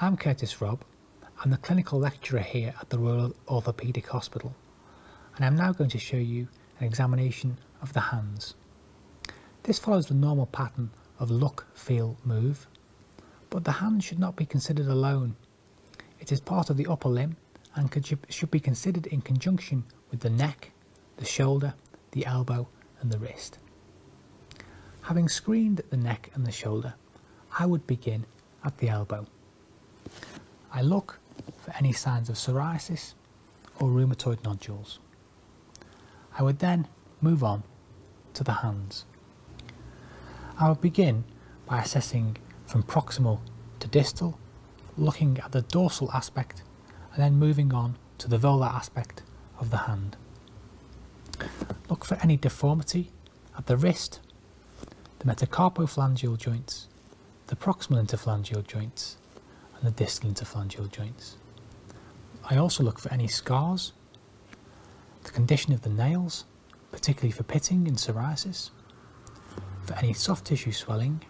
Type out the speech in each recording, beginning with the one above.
I'm Curtis Robb. I'm the clinical lecturer here at the Royal Orthopaedic Hospital, and I'm now going to show you an examination of the hands. This follows the normal pattern of look, feel, move, but the hand should not be considered alone. It is part of the upper limb and should be considered in conjunction with the neck, the shoulder, the elbow, and the wrist. Having screened the neck and the shoulder, I would begin at the elbow. I look for any signs of psoriasis or rheumatoid nodules. I would then move on to the hands. I would begin by assessing from proximal to distal, looking at the dorsal aspect, and then moving on to the volar aspect of the hand. Look for any deformity at the wrist, the metacarpophalangeal joints, the proximal interphalangeal joints, and the distal interphalangeal joints. I also look for any scars, the condition of the nails, particularly for pitting and psoriasis, for any soft tissue swelling,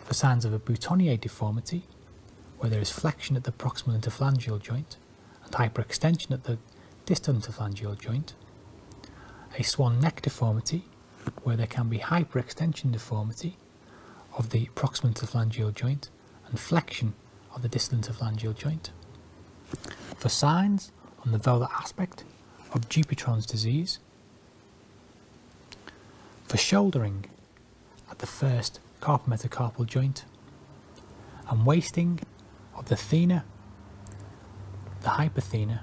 for signs of a boutonniere deformity, where there is flexion at the proximal interphalangeal joint and hyperextension at the distal interphalangeal joint, a swan neck deformity, where there can be hyperextension deformity of the proximal interphalangeal joint and flexion of the distal interphalangeal joint. For signs on the velar aspect of Dupuytren's disease, for shouldering at the first carpometacarpal joint and wasting of the thenar, the hypothenar,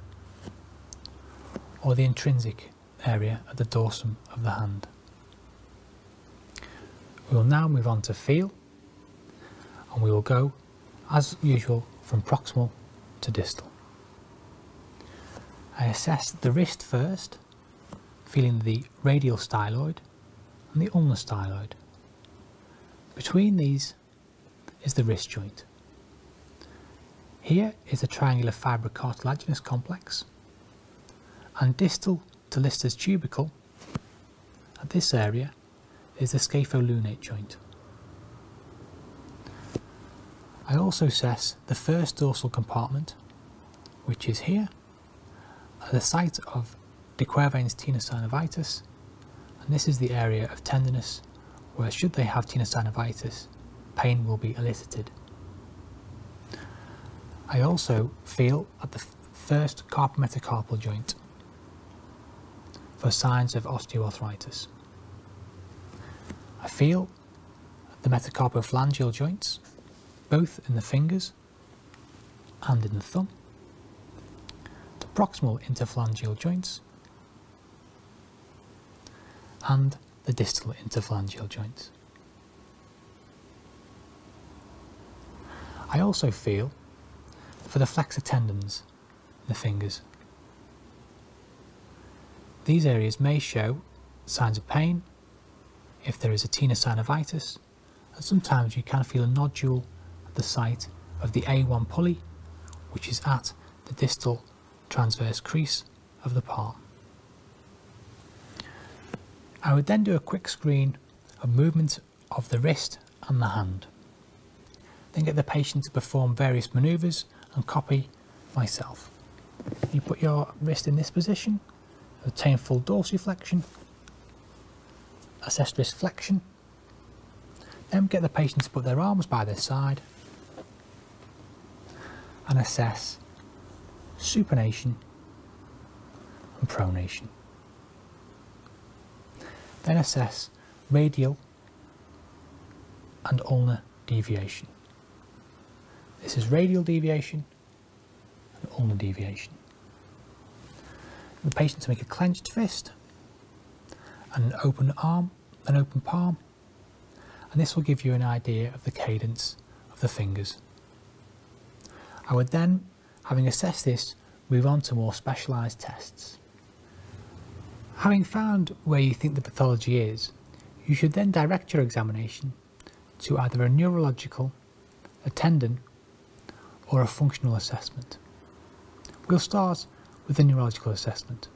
or the intrinsic area at the dorsum of the hand. We will now move on to feel and we will go as usual from proximal to distal. I assess the wrist first feeling the radial styloid and the ulnar styloid. Between these is the wrist joint. Here is the triangular fibrocartilaginous complex and distal to Lister's tubercle at this area is the scapholunate joint. I also assess the first dorsal compartment which is here, at the site of De Quervain's tenosynovitis, and this is the area of tenderness where should they have tenosynovitis, pain will be elicited. I also feel at the first carpometacarpal joint for signs of osteoarthritis. I feel the metacarpophalangeal joints, both in the fingers and in the thumb, the proximal interphalangeal joints, and the distal interphalangeal joints. I also feel for the flexor tendons in the fingers. These areas may show signs of pain, if there is a tenosynovitis, and sometimes you can feel a nodule at the site of the A1 pulley, which is at the distal transverse crease of the palm. I would then do a quick screen of movement of the wrist and the hand. Then get the patient to perform various manoeuvres and copy myself. You put your wrist in this position, obtain full dorsiflexion, assess wrist flexion, then get the patient to put their arms by their side and assess supination and pronation. Then assess radial and ulnar deviation. This is radial deviation and ulnar deviation. The patient to make a clenched fist an open arm, an open palm, and this will give you an idea of the cadence of the fingers. I would then, having assessed this, move on to more specialised tests. Having found where you think the pathology is, you should then direct your examination to either a neurological, a tendon, or a functional assessment. We'll start with the neurological assessment.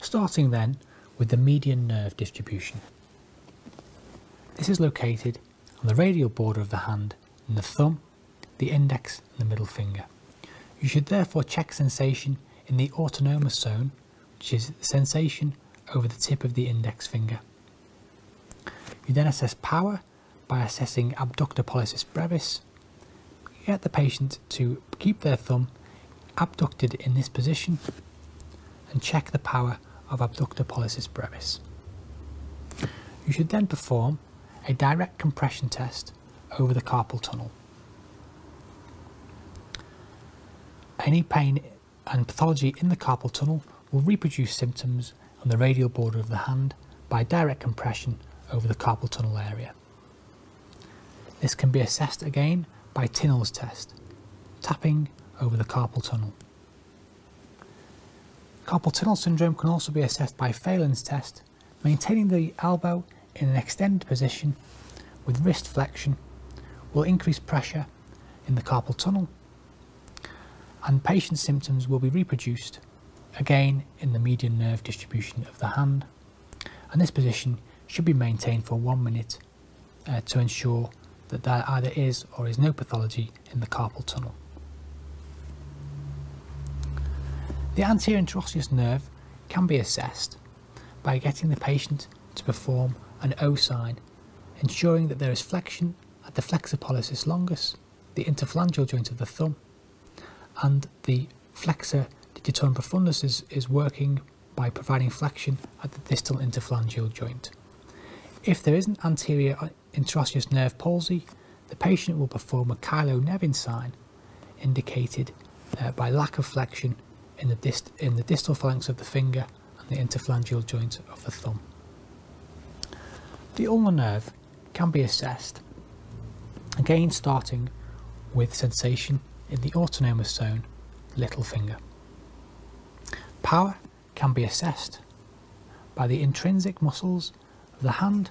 Starting then with the median nerve distribution. This is located on the radial border of the hand in the thumb, the index and the middle finger. You should therefore check sensation in the autonomous zone which is the sensation over the tip of the index finger. You then assess power by assessing abductor pollicis brevis. get the patient to keep their thumb abducted in this position and check the power of abductor pollicis brevis. You should then perform a direct compression test over the carpal tunnel. Any pain and pathology in the carpal tunnel will reproduce symptoms on the radial border of the hand by direct compression over the carpal tunnel area. This can be assessed again by Tinnell's test, tapping over the carpal tunnel. Carpal tunnel syndrome can also be assessed by Phalen's test, maintaining the elbow in an extended position with wrist flexion will increase pressure in the carpal tunnel and patient symptoms will be reproduced again in the median nerve distribution of the hand and this position should be maintained for one minute uh, to ensure that there either is or is no pathology in the carpal tunnel. The anterior interosseous nerve can be assessed by getting the patient to perform an O sign, ensuring that there is flexion at the flexor pollicis longus, the interphalangeal joint of the thumb, and the flexor digitorum profundus is, working by providing flexion at the distal interphalangeal joint. If there is an anterior interosseous nerve palsy, the patient will perform a Kylo-Nevin sign, indicated uh, by lack of flexion in the, in the distal phalanx of the finger and the interphalangeal joint of the thumb. The ulnar nerve can be assessed, again starting with sensation in the autonomic zone, little finger. Power can be assessed by the intrinsic muscles of the hand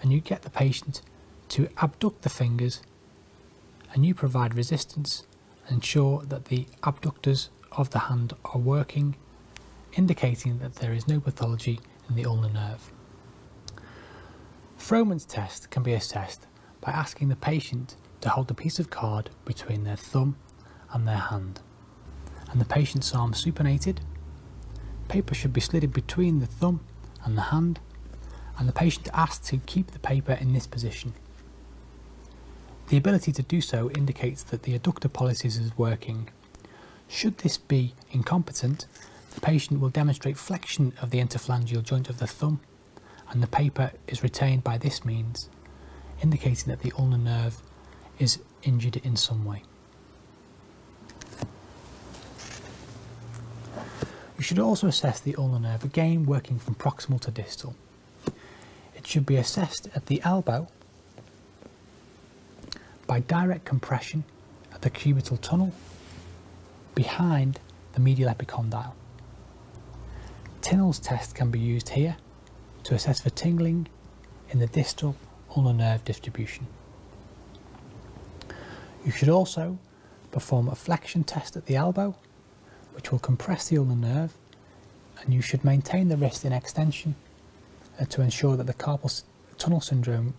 and you get the patient to abduct the fingers and you provide resistance ensure that the abductors of the hand are working, indicating that there is no pathology in the ulnar nerve. Frohman's test can be assessed by asking the patient to hold a piece of card between their thumb and their hand, and the patient's arm supinated. Paper should be slid between the thumb and the hand, and the patient asked to keep the paper in this position. The ability to do so indicates that the adductor pollicis is working. Should this be incompetent, the patient will demonstrate flexion of the interphalangeal joint of the thumb and the paper is retained by this means, indicating that the ulnar nerve is injured in some way. You should also assess the ulnar nerve, again working from proximal to distal. It should be assessed at the elbow by direct compression of the cubital tunnel behind the medial epicondyle. Tinnell's test can be used here to assess for tingling in the distal ulnar nerve distribution. You should also perform a flexion test at the elbow which will compress the ulnar nerve and you should maintain the wrist in extension uh, to ensure that the carpal tunnel syndrome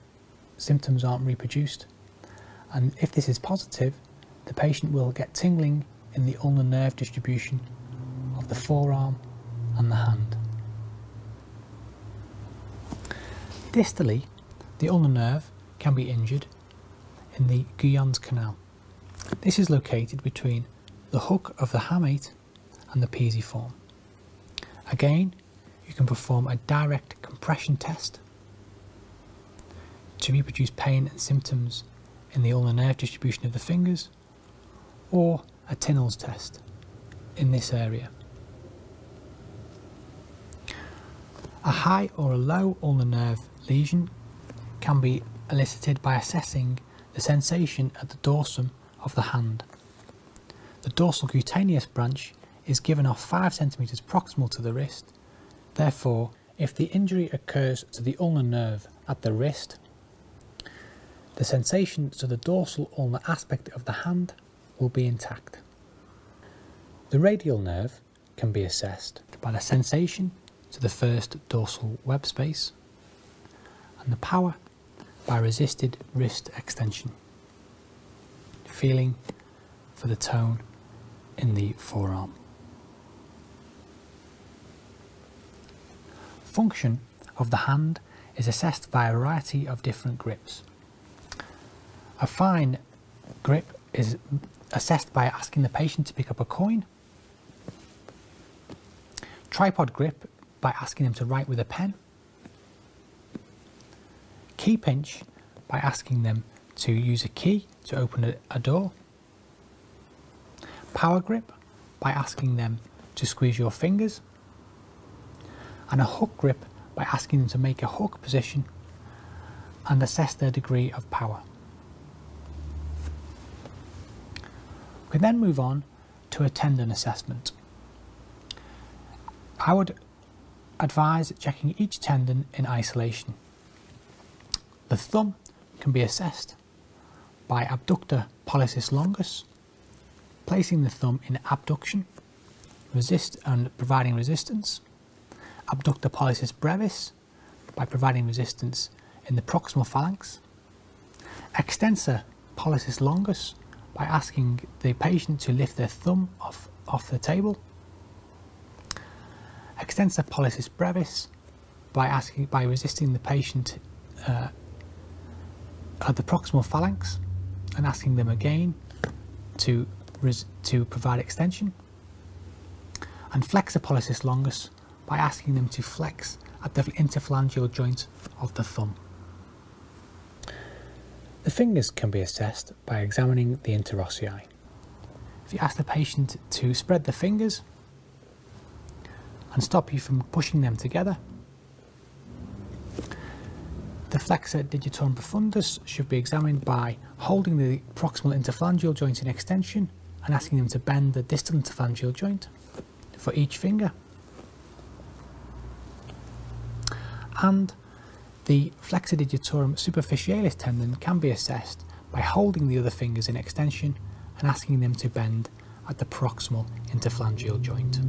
symptoms aren't reproduced. And if this is positive, the patient will get tingling in the ulnar nerve distribution of the forearm and the hand. Distally, the ulnar nerve can be injured in the Guyon's canal. This is located between the hook of the hamate and the pisiform. Again, you can perform a direct compression test to reproduce pain and symptoms in the ulnar nerve distribution of the fingers or a Tinnell's test in this area. A high or a low ulnar nerve lesion can be elicited by assessing the sensation at the dorsum of the hand. The dorsal cutaneous branch is given off 5 cm proximal to the wrist, therefore if the injury occurs to the ulnar nerve at the wrist, the sensation to the dorsal ulnar aspect of the hand will be intact. The radial nerve can be assessed by the sensation to the first dorsal web space and the power by resisted wrist extension, feeling for the tone in the forearm. Function of the hand is assessed by a variety of different grips. A fine grip is assessed by asking the patient to pick up a coin Tripod grip by asking them to write with a pen. Key pinch by asking them to use a key to open a door. Power grip by asking them to squeeze your fingers. And a hook grip by asking them to make a hook position and assess their degree of power. We then move on to attend an assessment. I would advise checking each tendon in isolation. The thumb can be assessed by abductor pollicis longus, placing the thumb in abduction, resist and providing resistance, abductor pollicis brevis, by providing resistance in the proximal phalanx. Extensor pollicis longus by asking the patient to lift their thumb off, off the table. Extensor pollicis brevis by asking by resisting the patient uh, at the proximal phalanx and asking them again to to provide extension. And flexor pollicis longus by asking them to flex at the interphalangeal joint of the thumb. The fingers can be assessed by examining the interossei. If you ask the patient to spread the fingers and stop you from pushing them together, the flexor digitorum profundus should be examined by holding the proximal interphalangeal joint in extension and asking them to bend the distal interphalangeal joint for each finger. And the flexor digitorum superficialis tendon can be assessed by holding the other fingers in extension and asking them to bend at the proximal interphalangeal joint.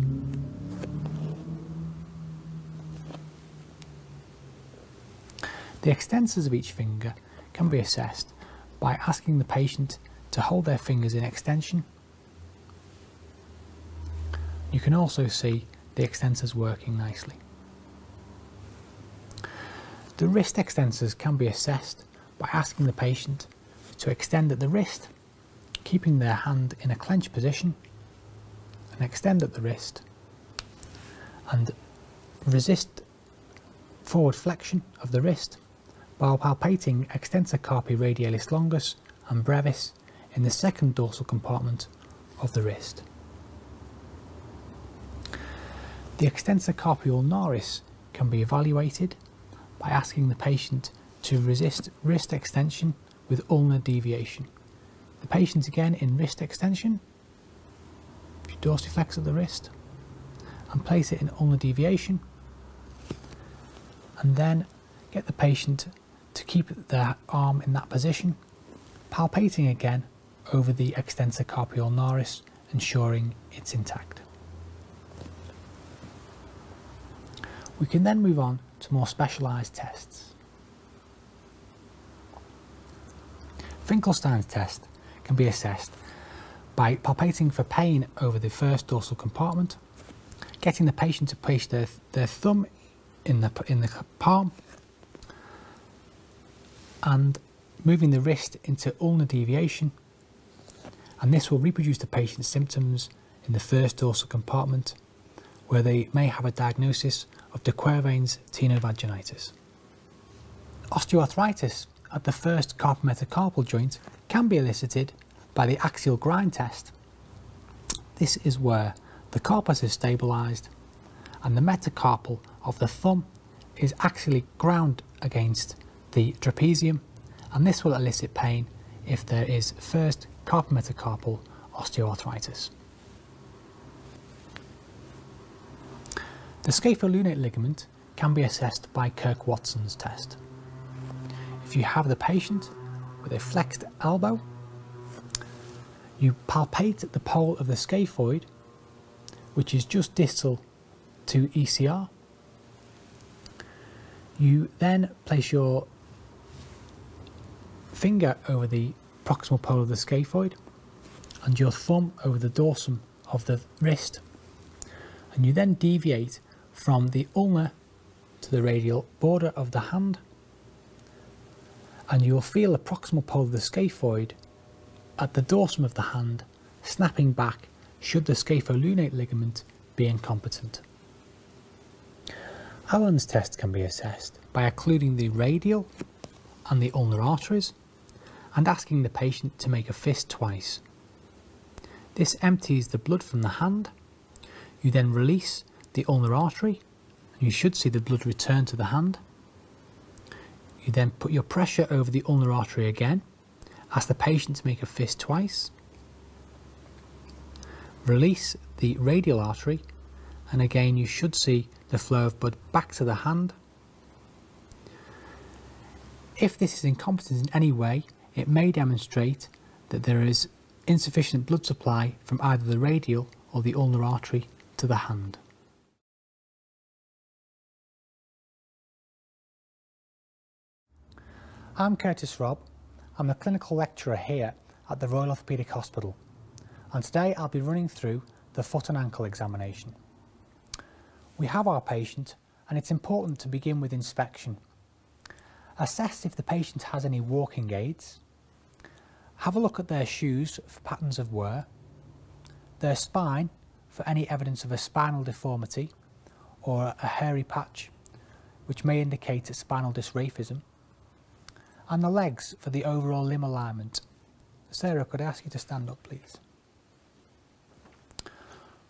The extensors of each finger can be assessed by asking the patient to hold their fingers in extension. You can also see the extensors working nicely. The wrist extensors can be assessed by asking the patient to extend at the wrist, keeping their hand in a clenched position, and extend at the wrist, and resist forward flexion of the wrist while palpating extensor carpi radialis longus and brevis in the second dorsal compartment of the wrist. The extensor carpi ulnaris can be evaluated by asking the patient to resist wrist extension with ulnar deviation. The patient again in wrist extension dorsiflex at the wrist and place it in ulnar deviation and then get the patient to keep their arm in that position palpating again over the extensor carpi ulnaris ensuring it's intact. We can then move on to more specialised tests. Finkelstein's test can be assessed by palpating for pain over the first dorsal compartment, getting the patient to place their, thumb in the, palm, and moving the wrist into ulnar deviation, and this will reproduce the patient's symptoms in the first dorsal compartment where they may have a diagnosis of de Quervain's tenovaginitis. Osteoarthritis at the first carpometacarpal joint can be elicited by the axial grind test. This is where the carpus is stabilised and the metacarpal of the thumb is actually ground against the trapezium and this will elicit pain if there is first carpometacarpal osteoarthritis. The scapholunate ligament can be assessed by Kirk-Watson's test. If you have the patient with a flexed elbow, you palpate the pole of the scaphoid, which is just distal to ECR. You then place your finger over the proximal pole of the scaphoid and your thumb over the dorsum of the wrist. And you then deviate from the ulna to the radial border of the hand and you will feel the proximal pole of the scaphoid at the dorsum of the hand snapping back should the scapholunate ligament be incompetent. Allen's test can be assessed by occluding the radial and the ulnar arteries and asking the patient to make a fist twice. This empties the blood from the hand. You then release the ulnar artery and you should see the blood return to the hand. You then put your pressure over the ulnar artery again. Ask the patient to make a fist twice. Release the radial artery and again you should see the flow of blood back to the hand if this is incompetent in any way, it may demonstrate that there is insufficient blood supply from either the radial or the ulnar artery to the hand. I'm Curtis Robb. I'm a clinical lecturer here at the Royal Orthopaedic Hospital and today I'll be running through the foot and ankle examination. We have our patient and it's important to begin with inspection. Assess if the patient has any walking aids. Have a look at their shoes for patterns of wear, their spine for any evidence of a spinal deformity or a hairy patch, which may indicate a spinal dysraphism, and the legs for the overall limb alignment. Sarah, could I ask you to stand up, please?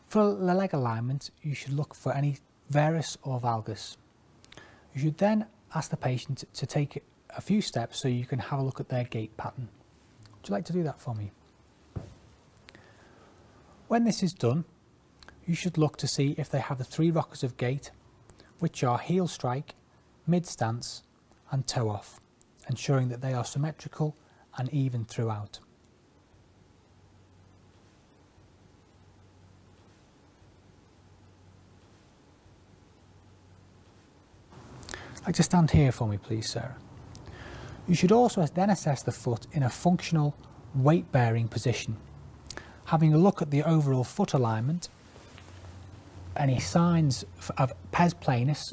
For the leg alignment, you should look for any varus or valgus. You should then ask the patient to take a few steps so you can have a look at their gait pattern. Would you like to do that for me? When this is done, you should look to see if they have the three rockers of gait, which are heel strike, mid stance and toe off ensuring that they are symmetrical and even throughout. like to stand here for me please Sarah. You should also then assess the foot in a functional weight bearing position, having a look at the overall foot alignment, any signs of pes planus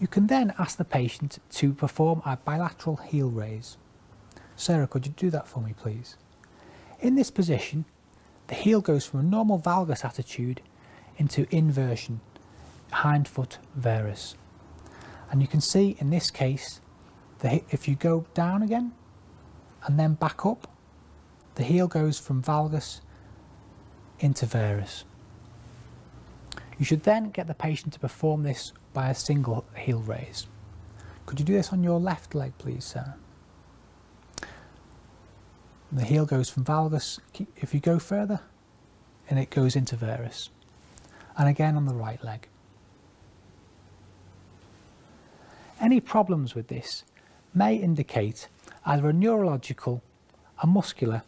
You can then ask the patient to perform a bilateral heel raise. Sarah, could you do that for me, please? In this position, the heel goes from a normal valgus attitude into inversion, hindfoot varus. And you can see in this case, the, if you go down again and then back up, the heel goes from valgus into varus. You should then get the patient to perform this by a single heel raise. Could you do this on your left leg, please, sir? The heel goes from valgus, if you go further, and it goes into varus. And again on the right leg. Any problems with this may indicate either a neurological, a muscular,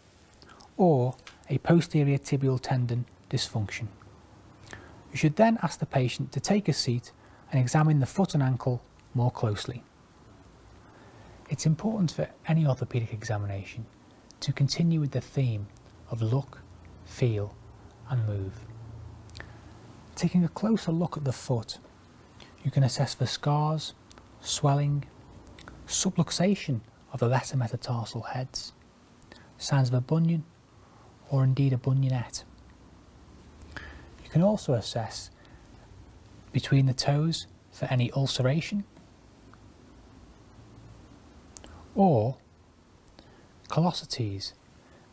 or a posterior tibial tendon dysfunction. You should then ask the patient to take a seat and examine the foot and ankle more closely. It's important for any orthopaedic examination to continue with the theme of look, feel and move. Taking a closer look at the foot, you can assess for scars, swelling, subluxation of the lesser metatarsal heads, signs of a bunion, or indeed a bunionette. You can also assess between the toes for any ulceration or callosities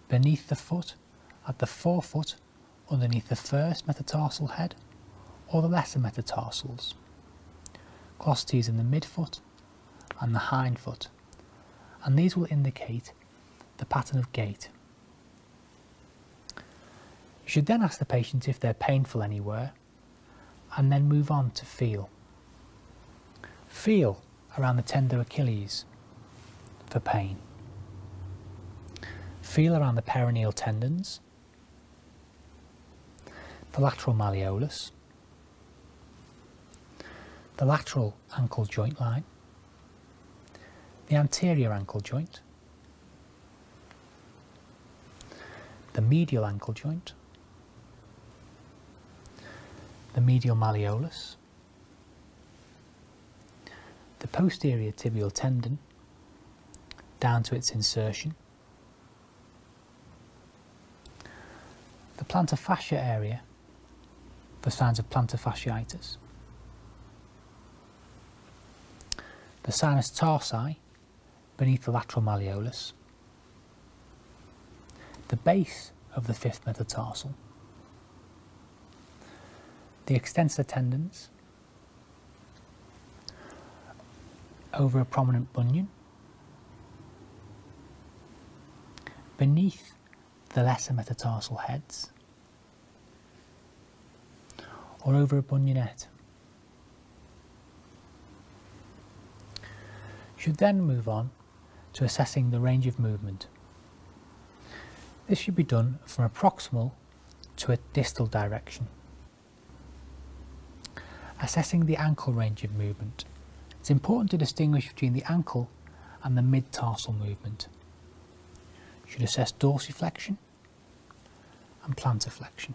beneath the foot, at the forefoot, underneath the first metatarsal head or the lesser metatarsals. Callosities in the midfoot and the hind foot, and these will indicate the pattern of gait. You should then ask the patient if they're painful anywhere and then move on to feel. Feel around the tender Achilles for pain. Feel around the perineal tendons the lateral malleolus, the lateral ankle joint line, the anterior ankle joint, the medial ankle joint, the medial malleolus, the posterior tibial tendon down to its insertion, the plantar fascia area for signs of plantar fasciitis. The sinus tarsi beneath the lateral malleolus. The base of the fifth metatarsal. The extensor tendons over a prominent bunion Beneath the lesser metatarsal heads, or over a bunionette. You should then move on to assessing the range of movement. This should be done from a proximal to a distal direction. Assessing the ankle range of movement. It's important to distinguish between the ankle and the mid-tarsal movement. should assess dorsiflexion and plantarflexion.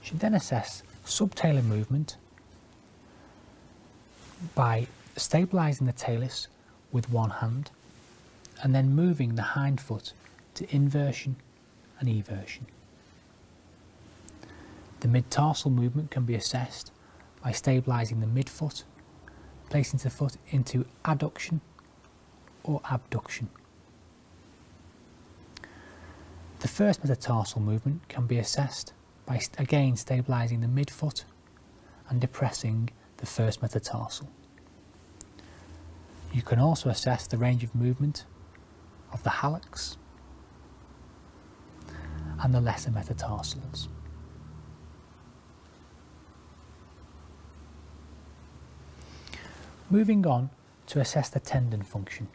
You should then assess subtalar movement by stabilizing the talus with one hand and then moving the hind foot to inversion an eversion. The mid-tarsal movement can be assessed by stabilising the midfoot, placing the foot into adduction or abduction. The first metatarsal movement can be assessed by again stabilising the midfoot and depressing the first metatarsal. You can also assess the range of movement of the hallux and the lesser metatarsals. Moving on to assess the tendon function.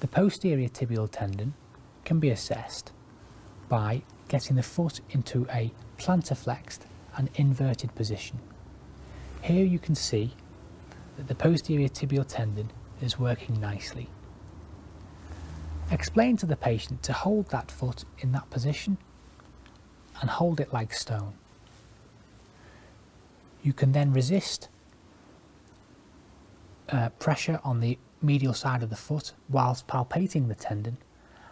The posterior tibial tendon can be assessed by getting the foot into a plantarflexed and inverted position. Here you can see that the posterior tibial tendon is working nicely. Explain to the patient to hold that foot in that position and hold it like stone. You can then resist uh, pressure on the medial side of the foot whilst palpating the tendon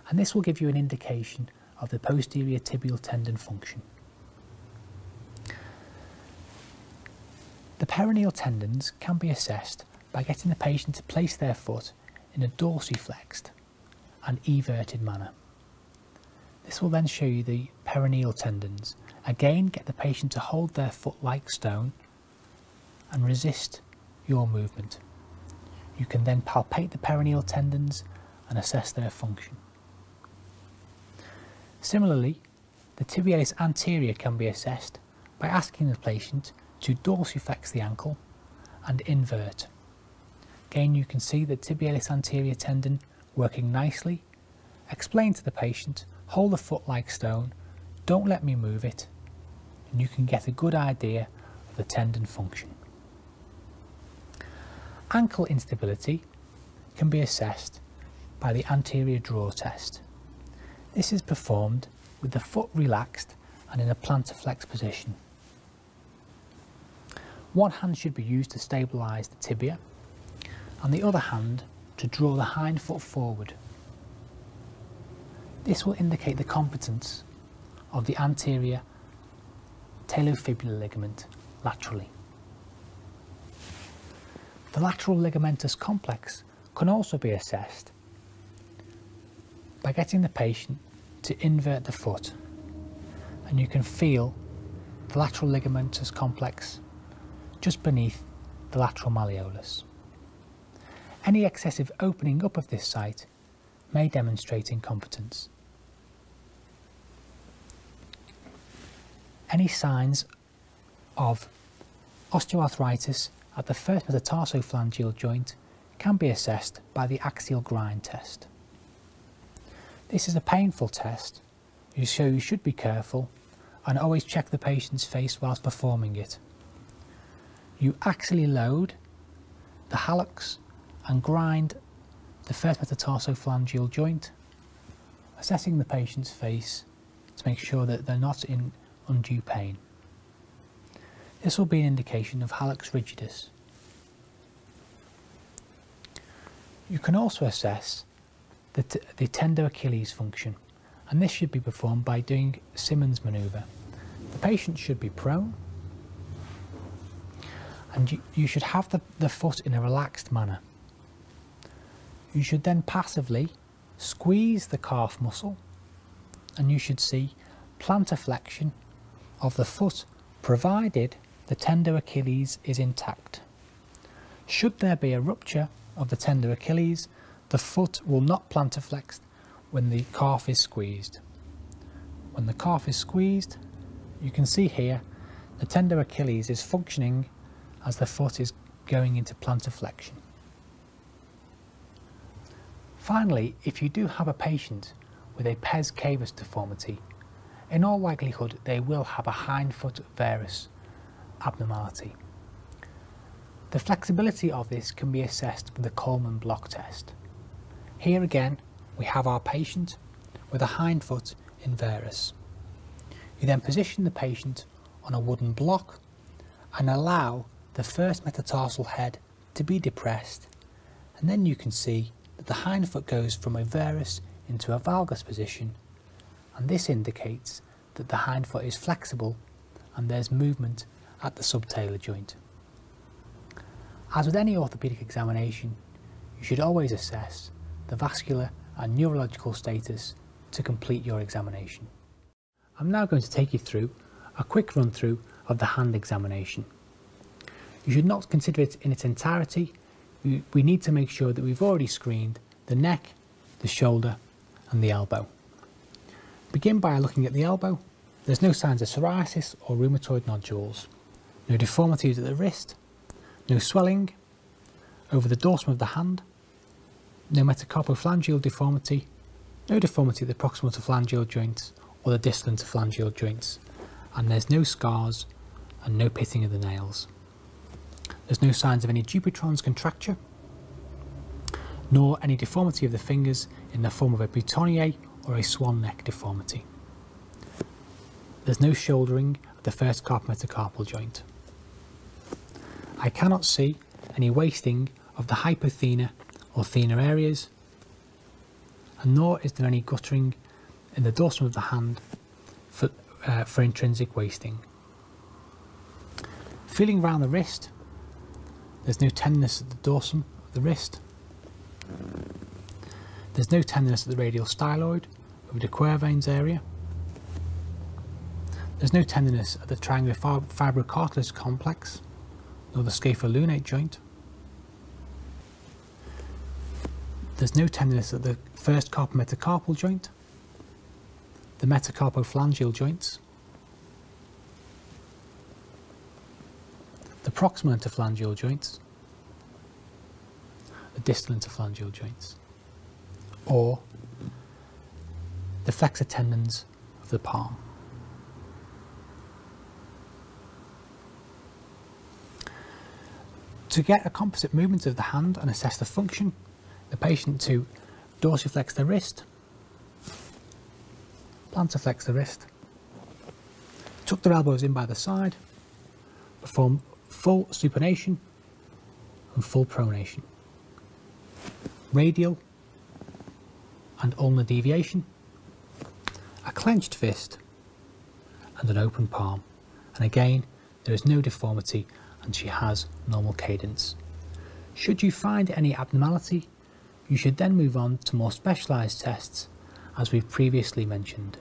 and this will give you an indication of the posterior tibial tendon function. The perineal tendons can be assessed by getting the patient to place their foot in a dorsiflexed and everted manner. This will then show you the perineal tendons. Again, get the patient to hold their foot like stone and resist your movement. You can then palpate the perineal tendons and assess their function. Similarly, the tibialis anterior can be assessed by asking the patient to dorsiflex the ankle and invert. Again, you can see the tibialis anterior tendon working nicely. Explain to the patient, hold the foot like stone, don't let me move it, and you can get a good idea of the tendon function. Ankle instability can be assessed by the anterior draw test. This is performed with the foot relaxed and in a plantarflex position. One hand should be used to stabilise the tibia and the other hand to draw the hind foot forward. This will indicate the competence of the anterior talofibular ligament laterally. The lateral ligamentous complex can also be assessed by getting the patient to invert the foot and you can feel the lateral ligamentous complex just beneath the lateral malleolus. Any excessive opening up of this site may demonstrate incompetence. Any signs of osteoarthritis at the first metatarsophalangeal joint can be assessed by the axial grind test. This is a painful test, so you should be careful and always check the patient's face whilst performing it. You axially load the hallux and grind the first metatarsophalangeal joint assessing the patient's face to make sure that they're not in undue pain. This will be an indication of hallux rigidus. You can also assess the, the tender Achilles function and this should be performed by doing Simmons manoeuvre. The patient should be prone and you, you should have the, the foot in a relaxed manner. You should then passively squeeze the calf muscle and you should see plantar flexion of the foot provided the tender Achilles is intact. Should there be a rupture of the tender Achilles, the foot will not plantar flex when the calf is squeezed. When the calf is squeezed, you can see here the tender Achilles is functioning as the foot is going into plantar flexion. Finally, if you do have a patient with a pes cavus deformity, in all likelihood they will have a hindfoot varus abnormality. The flexibility of this can be assessed with the Coleman block test. Here again, we have our patient with a hindfoot in varus, You then position the patient on a wooden block and allow the first metatarsal head to be depressed and then you can see that the hind foot goes from a varus into a valgus position and this indicates that the hind foot is flexible and there's movement at the subtalar joint. As with any orthopaedic examination, you should always assess the vascular and neurological status to complete your examination. I'm now going to take you through a quick run through of the hand examination. You should not consider it in its entirety. We need to make sure that we've already screened the neck, the shoulder and the elbow. Begin by looking at the elbow. There's no signs of psoriasis or rheumatoid nodules, no deformities at the wrist, no swelling, over the dorsum of the hand, no metacarpophalangeal deformity, no deformity of the proximal to phalangeal joints or the distal phalangeal joints, and there's no scars and no pitting of the nails. There's no signs of any Dupuytron's contracture, nor any deformity of the fingers in the form of a boutonniere or a swan neck deformity. There's no shouldering the first carpometacarpal joint. I cannot see any wasting of the hypothena or thenar areas, and nor is there any guttering in the dorsum of the hand for, uh, intrinsic wasting. Feeling around the wrist, there's no tenderness at the dorsum of the wrist. There's no tenderness at the radial styloid of the Quervains area. There's no tenderness at the triangular fib fibrocartilage complex, nor the scapholunate joint. There's no tenderness at the first carpometacarpal joint, the metacarpophalangeal joints, the proximal interphalangeal joints, the distal interphalangeal joints, or the flexor tendons of the palm. To get a composite movement of the hand and assess the function, the patient to dorsiflex the wrist, plantarflex the wrist, tuck their elbows in by the side, perform full supination and full pronation. Radial and ulnar deviation, a clenched fist and an open palm. And again, there is no deformity and she has normal cadence. Should you find any abnormality, you should then move on to more specialised tests as we've previously mentioned.